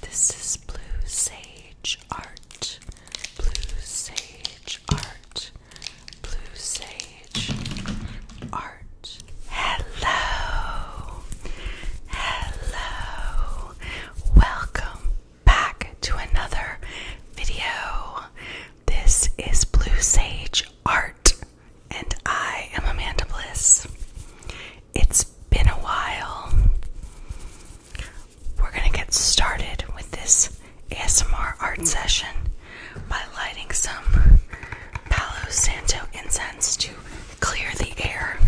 This is Blue Sage Art. Blue Sage Art. Blue Sage Art. Hello. Hello. Welcome back to another video. This is Blue Sage Art, and I am Amanda Bliss. It's been a while. We're going to get started with this ASMR art session by lighting some Palo Santo incense to clear the air.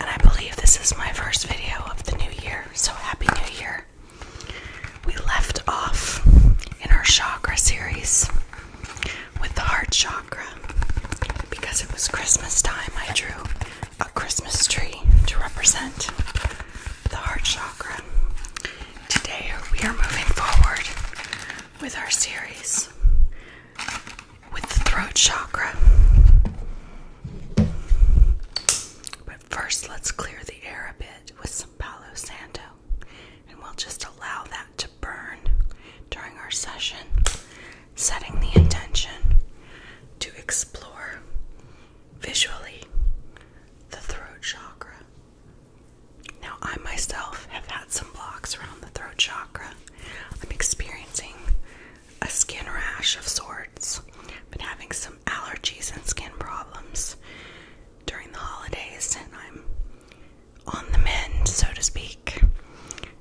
And I believe this is my first video of the new year, so Happy New Year! We left off in our chakra series with the heart chakra. Because it was Christmas time, I drew a Christmas tree to represent the heart chakra. Today, we are moving forward with our series with the throat chakra. But first, let's clear the air a bit with some Palo Santo and we'll just allow that to burn during our session, setting the intention to explore visually the throat chakra. Now, I myself have had some blocks around the throat chakra. I'm experiencing a skin rash of sorts. I've been having some allergies and skin problems during the holidays, and I'm on the mend, so to speak.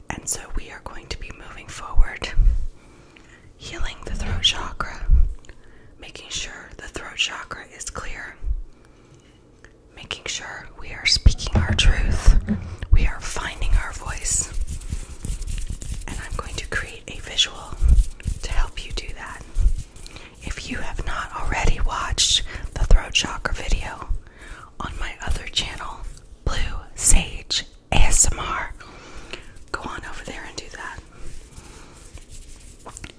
And so we are going to be moving forward, healing the throat chakra, making sure the throat chakra is clear, making sure we are speaking our truth, we are finding our voice. And I'm going to create a visual to help you do that. If you have not already watched the throat chakra video, on my other channel, Blue Sage ASMR. Go on over there and do that.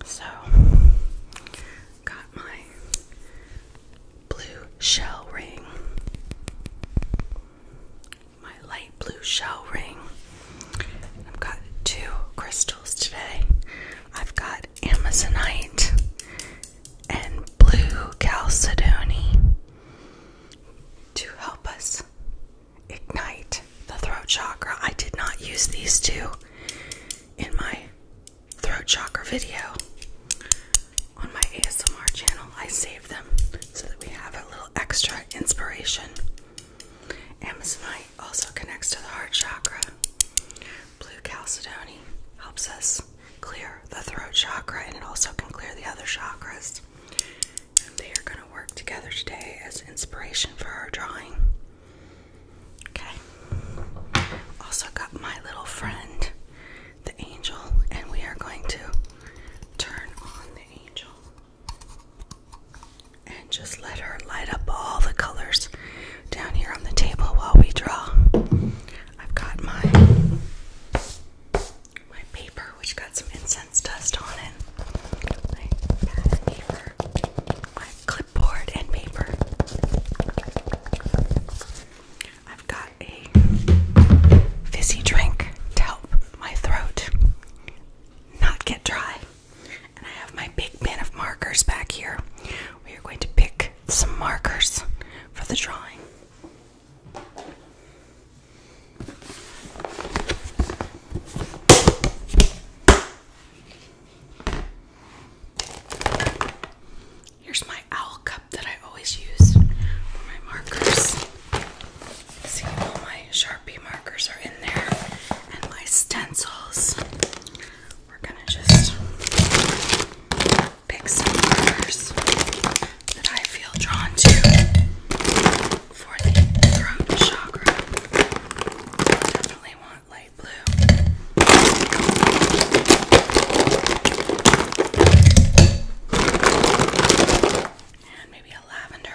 So, got my blue shell ring, my light blue shell ring. I've got two crystals today. I've got amazonite and blue chalcedony to help us ignite the throat chakra. I did not use these two in my throat chakra video on my ASMR channel. I saved them so that we have a little extra inspiration. Amazonite also connects to the heart chakra, Blue Chalcedony helps us clear the throat chakra and it also can clear the other chakras. And they are going to work together today as inspiration for our drawing. Okay. Also got my little friend, the angel, and we are going to turn on the angel and just let her light up all the colors down here on the table while we draw. I've got my my paper which got some incense dust on it. My paper. My clipboard and paper. I've got a fizzy drink to help my throat not get dry. And I have my big bin of markers back here. We are going to pick some markers for the drawing. Here's my owl cup that I always use for my markers. See, all my Sharpie markers are in there, and my stencils. We're gonna just pick some colors that I feel drawn to for the throat chakra. definitely want light blue. And maybe a lavender.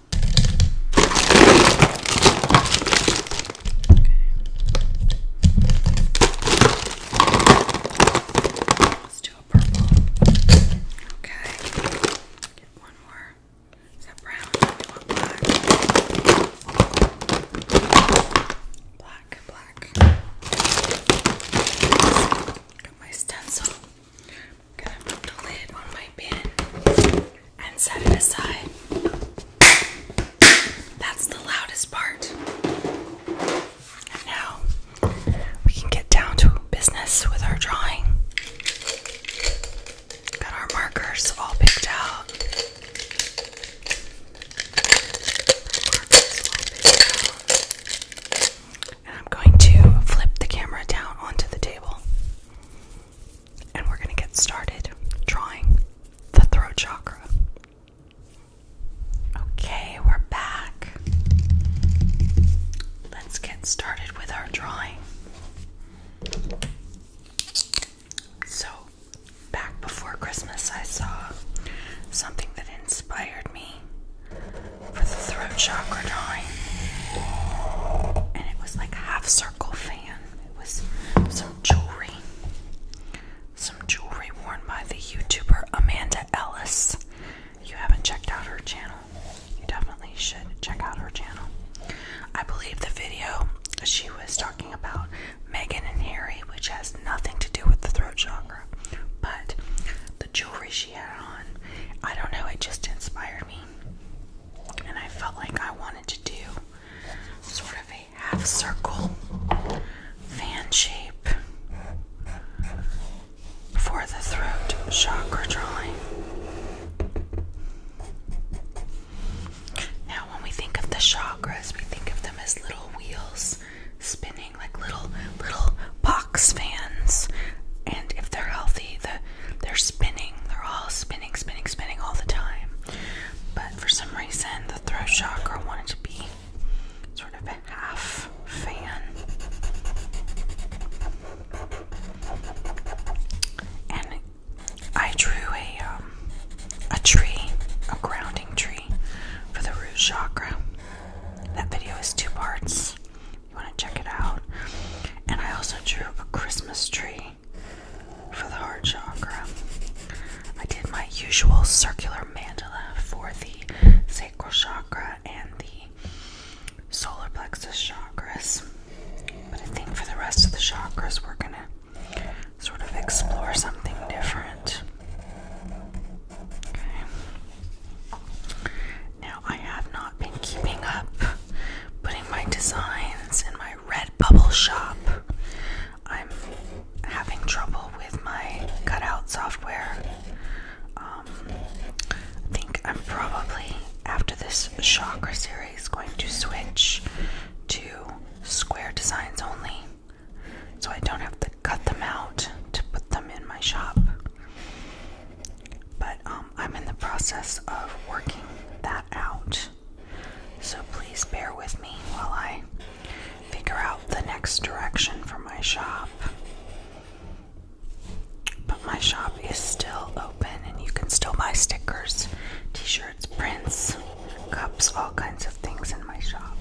Okay. Let's do a purple. Okay. Get one more. Is that brown? Do want black? Black, black. Got my stencil. I'm gonna put the lid on my bin and set it aside. That's the loudest part. And now we can get down to business with our drawing. Got our Markers all picked out. And I'm going to flip the camera down onto the table. And we're going to get started drawing the throat chakra. Okay, we're back. Let's get started with our drawing. So, back before Christmas, I saw something that inspired me for the throat chakra drawing. And it was like a half circle fan. It was some jewelry. Some jewelry worn by the YouTuber Amanda Ellis. you haven't checked out her channel, you definitely should check out her channel. I believe the video she was talking about Meghan and Harry, which has nothing to do with the throat chakra, but the jewelry she had on I don't know, it just inspired me. And I felt like I wanted to do sort of a half circle fan shape for the throat chakra drawing. Now, when we think of the chakras, we think of them as little wheels spinning, like little, little fans, and if they're healthy, they're spinning. They're all spinning, spinning, spinning all the time. But for some reason, the throat chakra wanted to be sort of a half fan. And I drew a um, a tree, a grounding tree for the root chakra. That video is two parts you want to check it out. And I also drew a Christmas tree for the heart chakra. I did my usual circular mandala for the sacral chakra and the solar plexus chakras. But I think for the rest of the chakras, we're going to sort of explore something different. Okay. Now, I have not been keeping up putting my designs in my red bubble shop. I'm having trouble with my cutout software. Um, I think I'm probably, after this chakra series, going to switch to square designs only so I don't have to cut them out to put them in my shop. But um, I'm in the process of working that out. So please bear with me while I figure out the next direction for my shop. But my shop is still open and you can still buy stickers, t shirts, prints, cups, all kinds of things in my shop.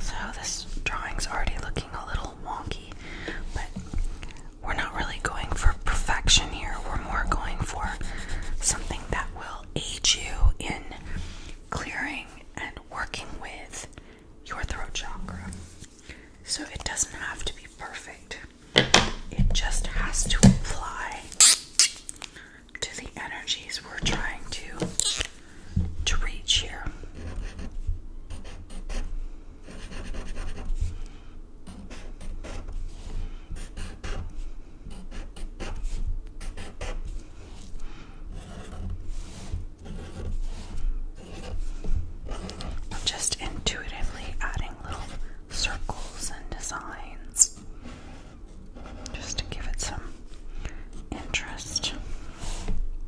So, this drawing's already looking a little wonky, but we're not really going for perfection here. We're more going for something that will aid you in clearing and working with your throat chakra. So it doesn't have to be perfect, it just has to apply to the energies we're trying to to reach here. I'm just intuitively adding little circles and designs just to give it some interest.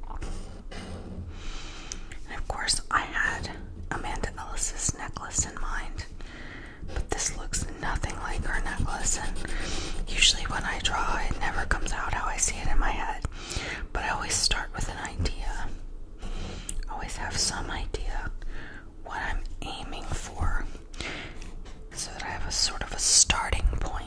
And of course, I had Amanda Ellis's necklace in mind, but this looks nothing like her necklace. And usually, when I draw, it never comes out how I see it in my head, but I always start with an idea, always have some idea what I'm aiming for so that I have a sort of a starting point.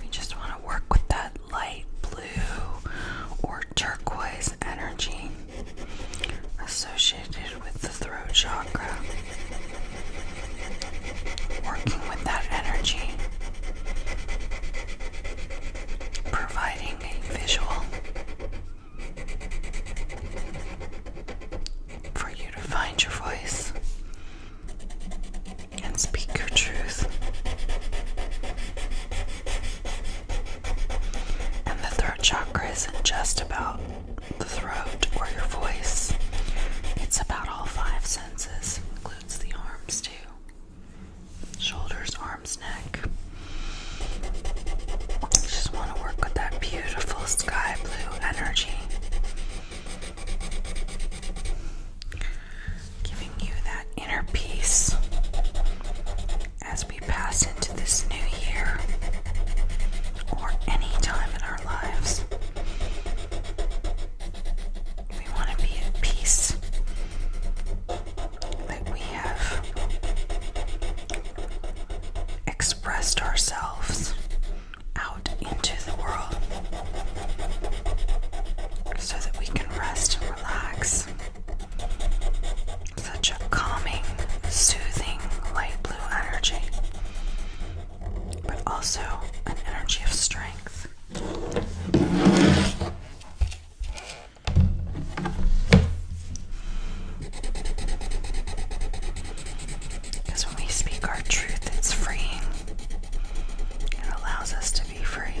We just want to work with that light blue or turquoise energy associated with the throat chakra. Working with that energy, providing a visual for you to find your voice and speak your truth. And the throat chakra isn't just about the throat or your voice, it's about all five senses, includes the arms too shoulders, arms, neck. just want to work with that beautiful sky blue energy Giving you that inner peace as we pass into this new year or any time in our lives. We want to be at peace that we have expressed ourselves out into the world so that we can rest and relax. Such a calming, soothing, light blue energy, but also an energy of strength. Because when we speak our truth, it's freeing. It allows us to be free.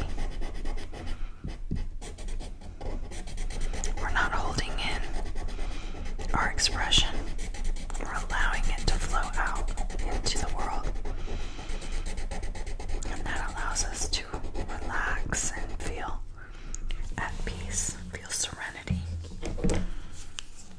We're not holding in our expression, we're allowing it to flow out into the world. And that allows us to relax and feel at peace, feel serenity.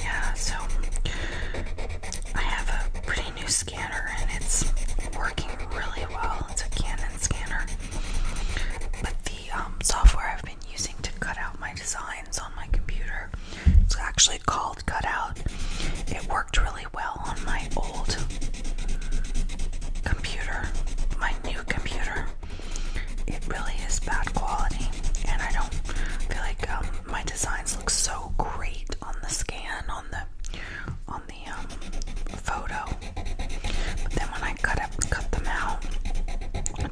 Yeah, so I have a pretty new scanner and it's working really well. It's a Canon scanner. But the um, software I've been using to cut out my designs on my computer. It's actually called Cutout. It worked really well on my old computer, my new computer. It really is bad quality, and I don't feel like um, my designs look so great on the scan on the on the um, photo. But then when I cut up, cut them out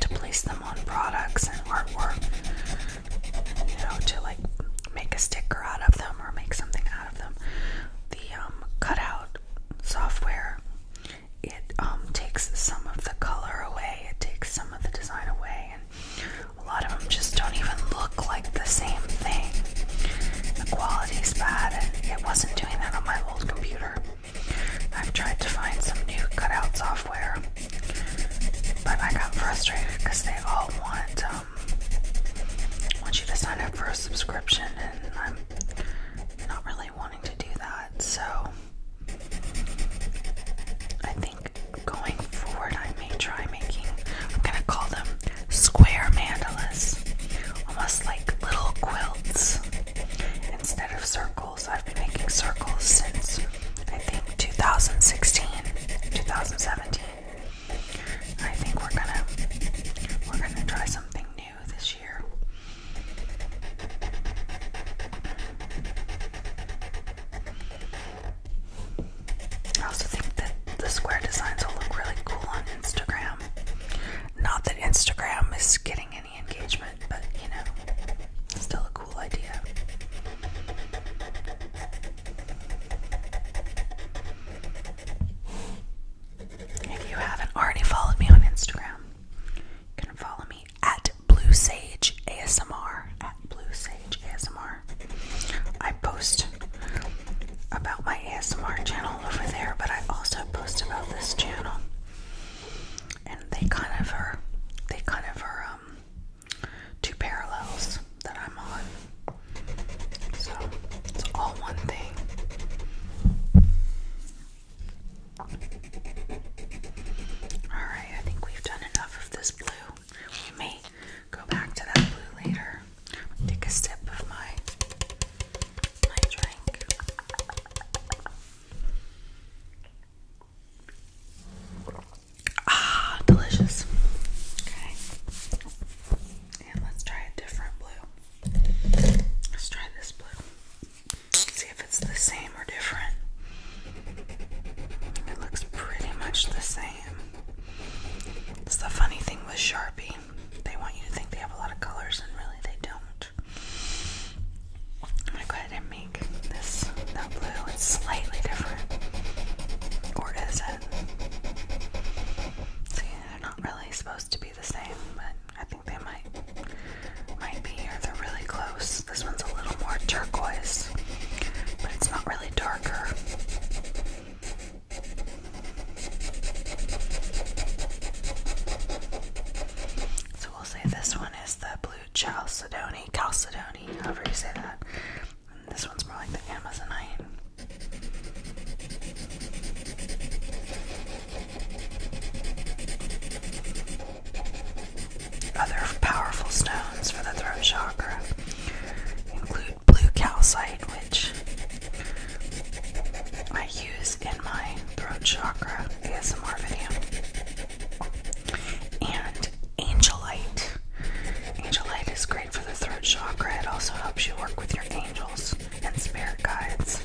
to place them on products and artwork, you know, to like make a sticker out of them or make something out of them, the um, cutout software it um, takes some of the color away, it takes some of the design away, and a lot of them just don't even look like the same thing. The quality's bad, it wasn't doing that on my old computer. I've tried to find some new cutout software, but I got frustrated because they all want um, want you to sign up for a subscription, and I'm not really wanting to do that. So I think going forward, I may try making. I'm gonna call them square mandalas, almost like little quilts instead of circles. I've been making circles since I think 2016, 2017. I think we're gonna we're gonna try something new this year. I also think that the square designs will look really cool on Instagram. Not that Instagram is getting any engagement, but you know, still a cool idea. If you haven't already followed me on Instagram, you can follow me at Blue Sage ASMR. At Blue Sage ASMR. I post about my ASMR channel over there, but I also post about this channel and they kind of are they kind of are um two parallels that I'm on. So it's all one thing. Alright, I think we've done enough of this blue. We may go back to that blue later. Take a sip of my Ah, delicious. Okay. And let's try a different blue. Let's try this blue. See if it's the same or different. It looks pretty much the same. It's the funny thing with Sharpie. They want you to think they have a lot of colors, and really they don't. I'm gonna go ahead and make this the blue. It's slightly different, or is it? See, they're not really supposed to be the same, but I think they might might be here. They're really close. This one's a little more turquoise, but it's not really darker. So we'll say this one is the blue chalcedony, chalcedony, however you say that. this one's more like the amazonite. Other powerful stones for the throat chakra include blue calcite, which I use in my throat chakra ASMR video. And angelite. Angelite is great for the throat chakra. It also helps you work with your angels and spirit guides.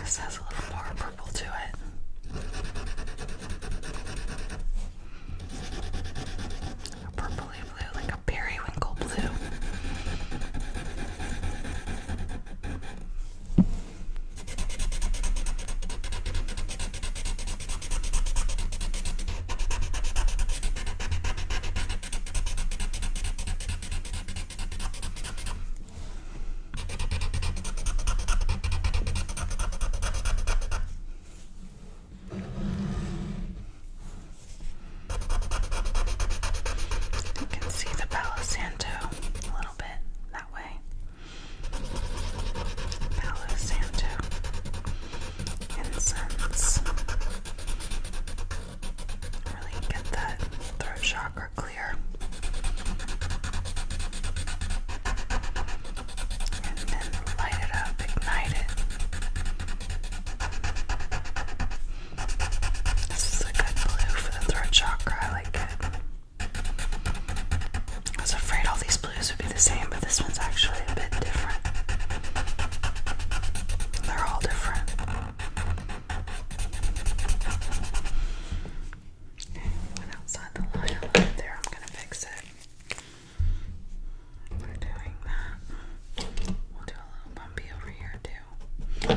This has a little more purple to it. A purpley blue, like a periwinkle blue. You can see the Palo a little bit that way. Palo Santo incense. Really get that throat chakra clear. And then light it up, ignite it. This is a good blue for the throat chakra, I like it. I was afraid all these blues would be the same, but this one's actually a bit different. They're all different. Went outside the line there. I'm gonna fix it. We're doing that. We'll do a little bumpy over here too.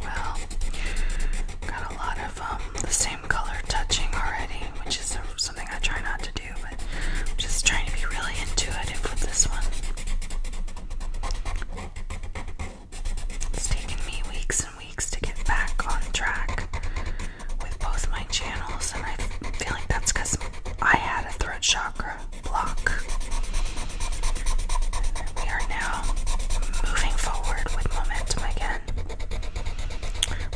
Well, got a lot of um, the same color touching already, which is something I try not to do, but I'm just trying to be really intuitive with this one. It's taken me weeks and weeks to get back on track with both my channels, and I feel like that's because I had a throat chakra block. We are now moving forward with momentum again.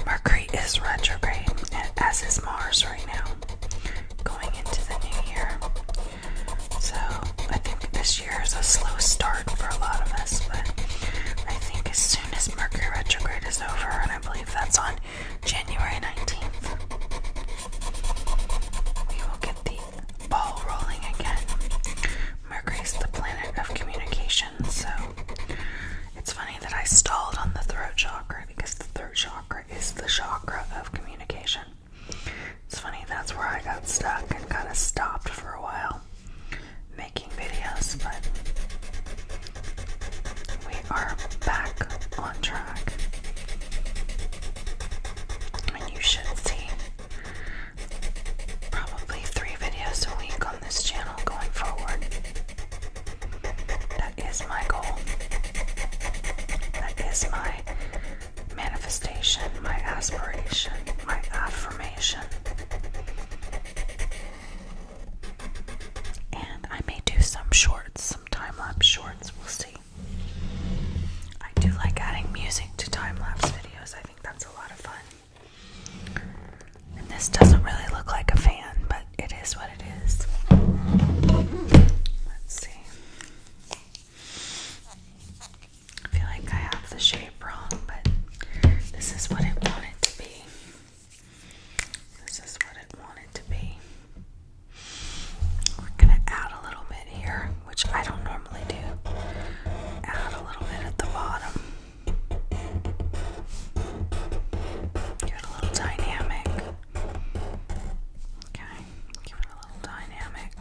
Mercury is retrograde, as is Mars right now, going into the new year. So I think this year is a slow start for a lot of us, but I think as soon as Mercury retrograde is over, and I believe that's on January 19th. We will get the ball rolling again. Mercury's the planet of communication, so it's funny that I stalled on the throat chakra because the throat chakra is the chakra of communication. It's funny, that's where I got stuck and kind of stopped for a while making videos, but are back on track. And you should see probably three videos a week on this channel going forward. That is my goal. That is my manifestation, my aspiration, my affirmation. And I may do some shorts time lapse shorts. We'll see. I do like adding music to time lapse videos, I think that's a lot of fun. And this doesn't really look like a fan, but it is what it is. Let's see. I feel like I have the shape wrong, but this is what I want it to be. This is what it wanted to be. We're gonna add a little bit here, which I don't normally do. Add a little bit at the bottom. Give a little dynamic. Okay, give it a little dynamic.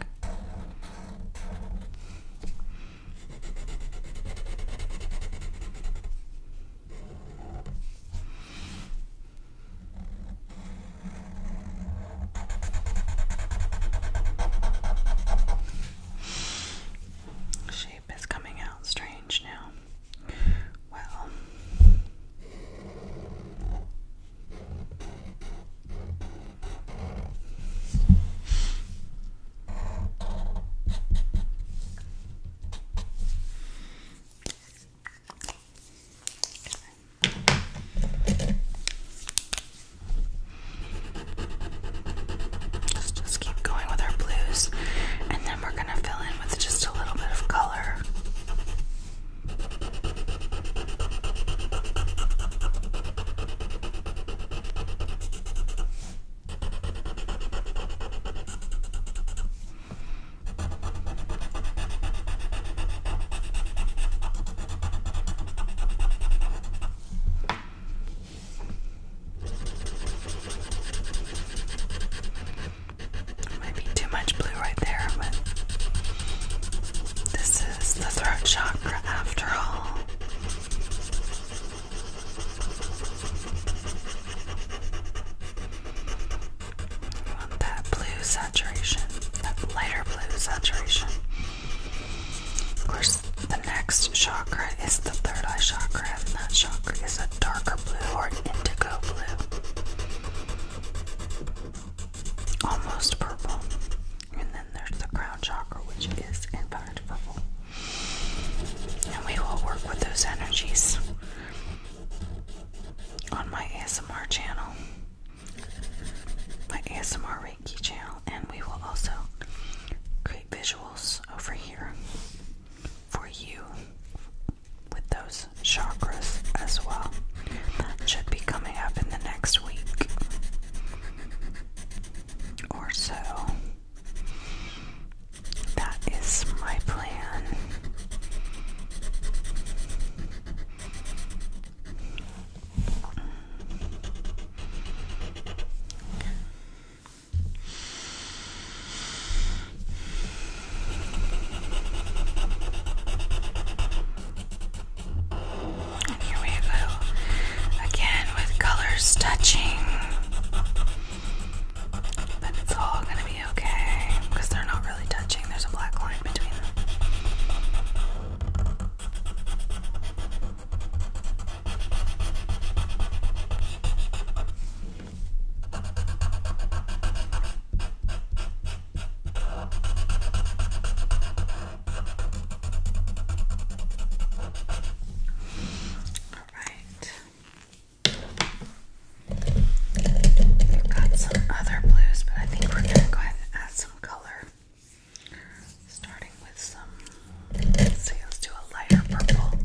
Shape is coming out strange now. Well, Let's just keep going with our blues, and then we're going to fill in with just a little bit of color. Might be too much blue right there, but this is the throat chakra after all want that blue saturation, that lighter blue saturation. Of course, the next chakra is the third eye chakra, and that chakra is a darker blue or indigo blue, almost purple. And then there's the crown chakra, which is in fact purple. And we will work with those energies on my ASMR channel, my ASMR Reiki channel, and we will also create visuals over here for you with those chakras as well. That should be coming up in the next week or so. That is my plan. here we go again with colors touching. But it's all gonna be okay because they're not really touching, there's a black line between them. All right got some other blues, but I think we're going to go ahead and add some color. Starting with some, let's do a lighter purple.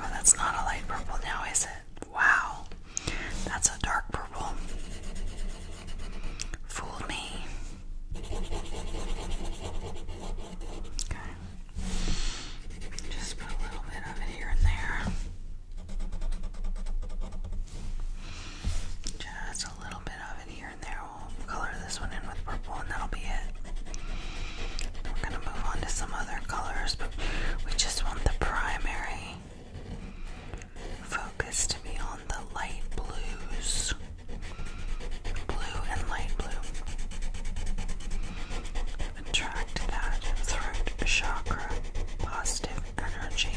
Oh, that's not a light purple now, is it? Wow, that's a dark purple. Fool me. Just put a little bit of it here and there. Just a little bit of it here and there. We'll color this one in with purple, and that'll be it. We're gonna move on to some other colors, but we just want the primary focus to be on the light blues blue and light blue. Attract that throat chakra positive energy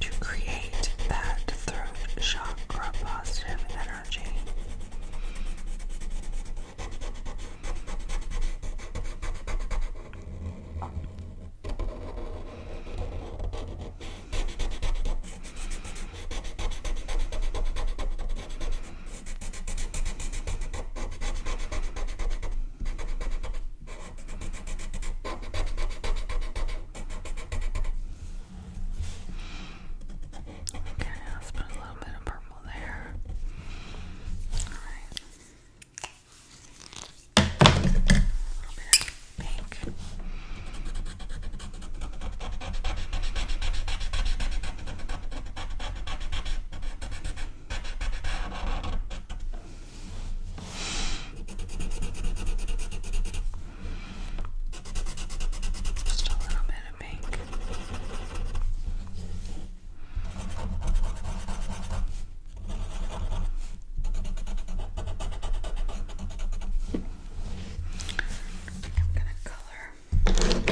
to create that throat chakra positive energy. Okay, let's put a little bit of purple there. All right. A little bit of pink. Just a little bit of pink. Just I'm gonna color.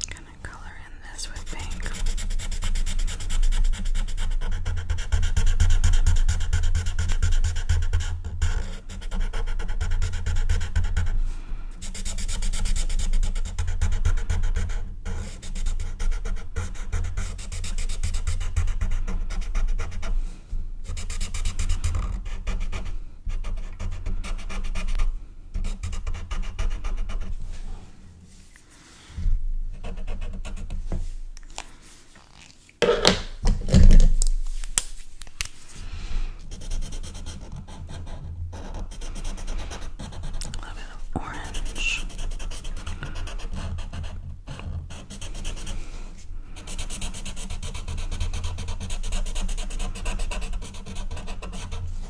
Kind color in this with pink. A little bit of orange.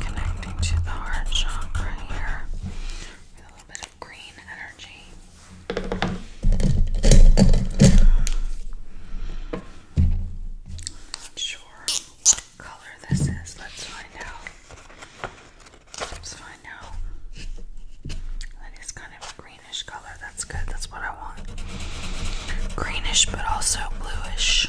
Connecting to the heart chakra here with a little bit of green energy. Not sure what color this is. Let's find out. Let's find out. That is kind of a greenish color. That's good. That's what I want. Greenish, but also bluish.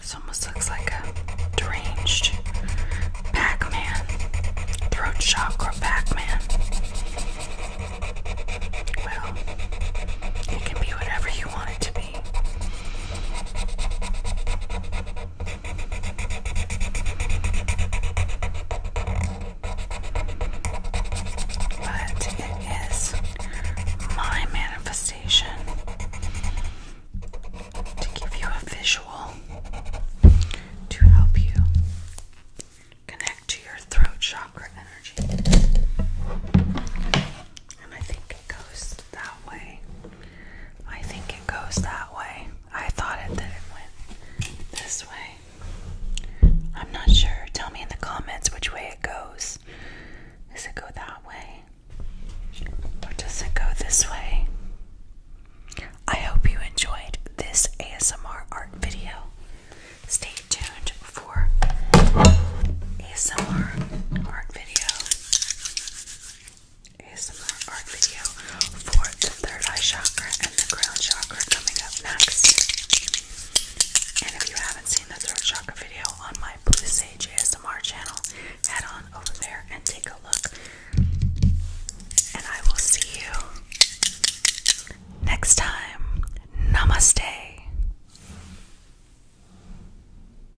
This almost looks like a deranged Pac-Man, throat chakra Pac-Man. Well, it can be whatever you want it to be. But it is my manifestation to give you a visual to help you connect to your throat chakra energy. And I think it goes that way. I think it goes that way. I thought it that it went this way. I'm not sure. Tell me in the comments which way it goes. Does it go that way? Or does it go this way? I hope you enjoyed this ASMR art video. Stay tuned for ASMR art video. ASMR art video for the third eye chakra and the crown chakra coming up next. And if you haven't seen the third chakra video on my Blue Sage ASMR channel, head on over there and take a look. And I will see you next time. Namaste.